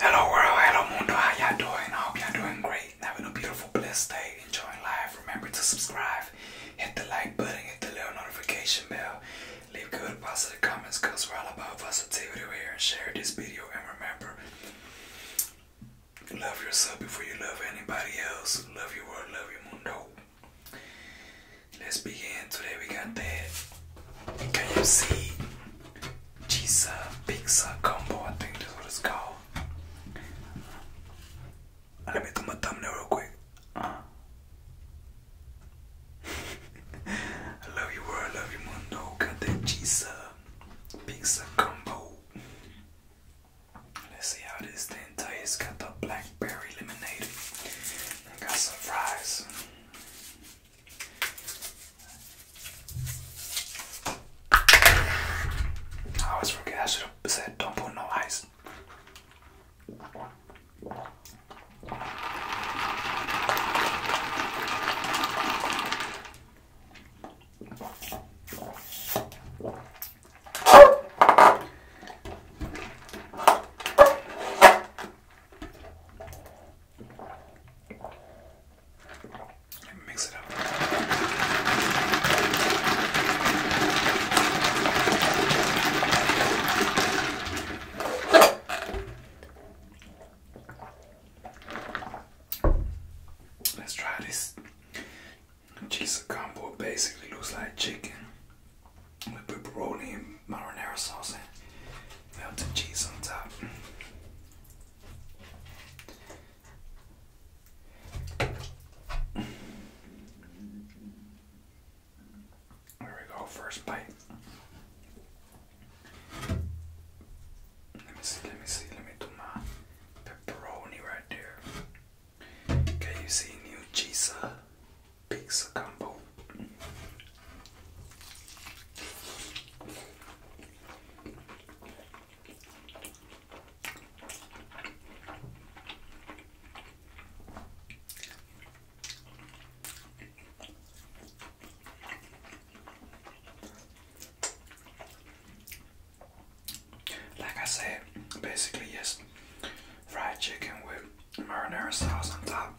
Hello world, hello mundo, how y'all doing? I hope y'all doing great. Having a beautiful, blessed day, enjoying life. Remember to subscribe, hit the like button, hit the little notification bell. Leave good positive comments because we're all about positivity here and share this video and remember love yourself before you love anybody else. Love your world, love your mundo. Let's begin. Today we got that. Can you see pizza, pizza combo, I think that's what it's called. Let me do my thumbnail real quick. Uh. I love you world, I love you mundo, got that pizza, pizza combo. Let's see how this thing tastes. Got the blackberry lemonade and got some fries. I always forget I should have said don't put no ice mix it up. Let's try this. Cheese combo basically looks like chicken with pepperoni and marinara sauce and melted cheese on top. There we go, first bite. Let me see, let me see, let me do my pepperoni right there. Can you see new cheese? Uh, pizza combo. Like I said, basically, yes, fried chicken with marinara sauce on top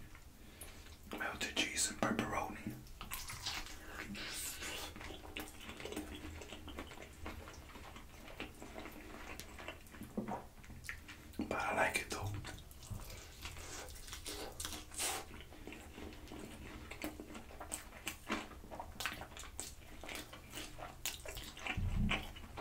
melted cheese and pepperoni. But I like it though.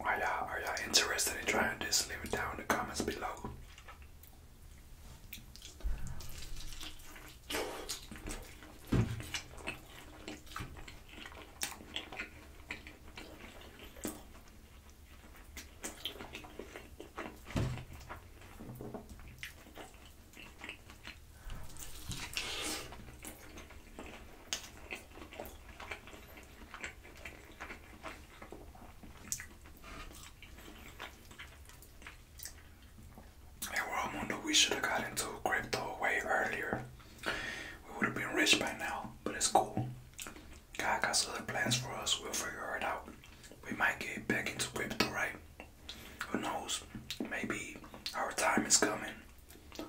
Are ya are ya interested in trying this? Leave it down in the comments below. In World we should have got into crypto way earlier. We would have been rich by now, but it's cool. God has other plans for us, we'll figure it out. We might get back into crypto, right? Who knows? Maybe our time is coming.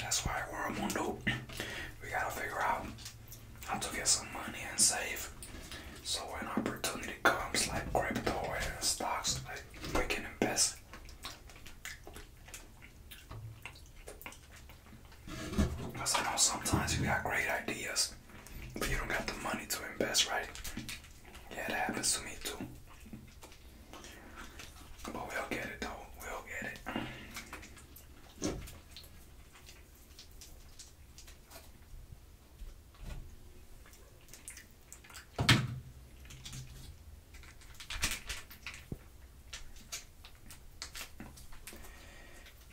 That's why we're a mundo. We gotta figure out how to get some money and save. So when opportunity comes, like crypto and stocks, like we can invest. Because I know sometimes you got great ideas, but you don't got the money to invest, right? Yeah, that happens to me too. But we'll get it though, we'll get it.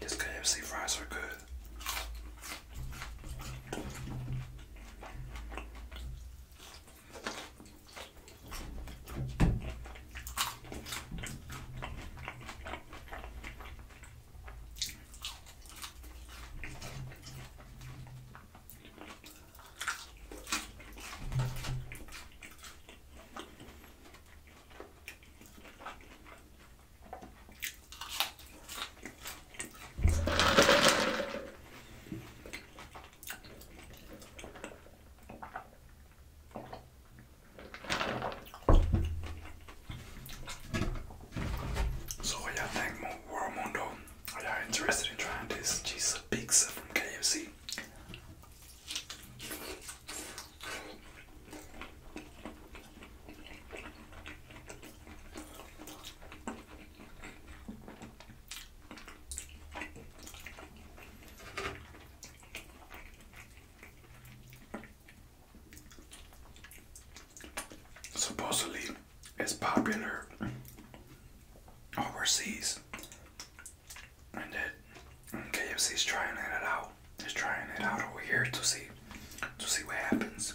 This KFC fries are good. So you yeah, thank World Mundo. Are you interested in trying this cheese pizza from KFC? Supposedly, is popular overseas. And that and KFC's trying it out. Just trying it out over here to see to see what happens.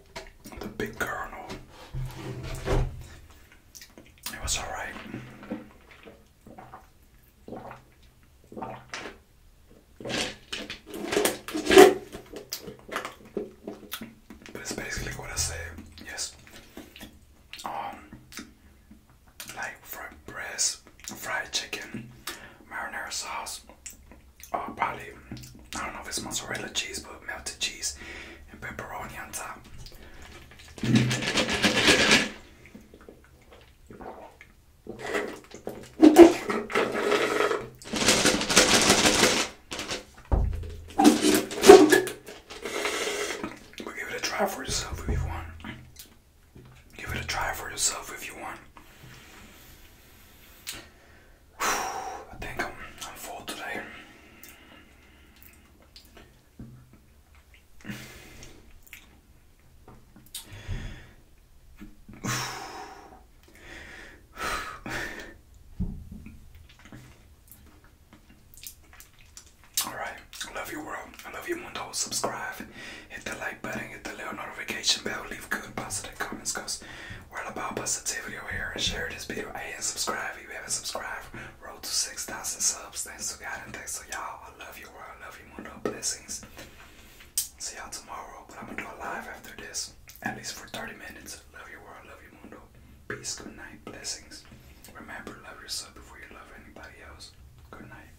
the big Colonel. It was alright. But it's basically what I say, yes. Um, like fried breast, fried chicken, marinara sauce, Oh, probably, I don't know if it's mozzarella cheese, but melted cheese and pepperoni on top. But give it a try for yourself if you want. Give it a try for yourself if you want. I think I'm, full today. All right, love you world. I love you mundo. Subscribe. Hit the like button, hit the little notification bell, leave good positive comments because we're all about positivity over here. And share this video and subscribe if you haven't subscribed. Roll to 6,000 subs. Thanks to God and thanks to y'all. I love you, world. I love you, mundo. Blessings. See y'all tomorrow. But I'm going to do a live after this, at least for 30 minutes. Love you, world. Love you, mundo. Peace, good night, blessings. Remember, love yourself before you love anybody else. Good night.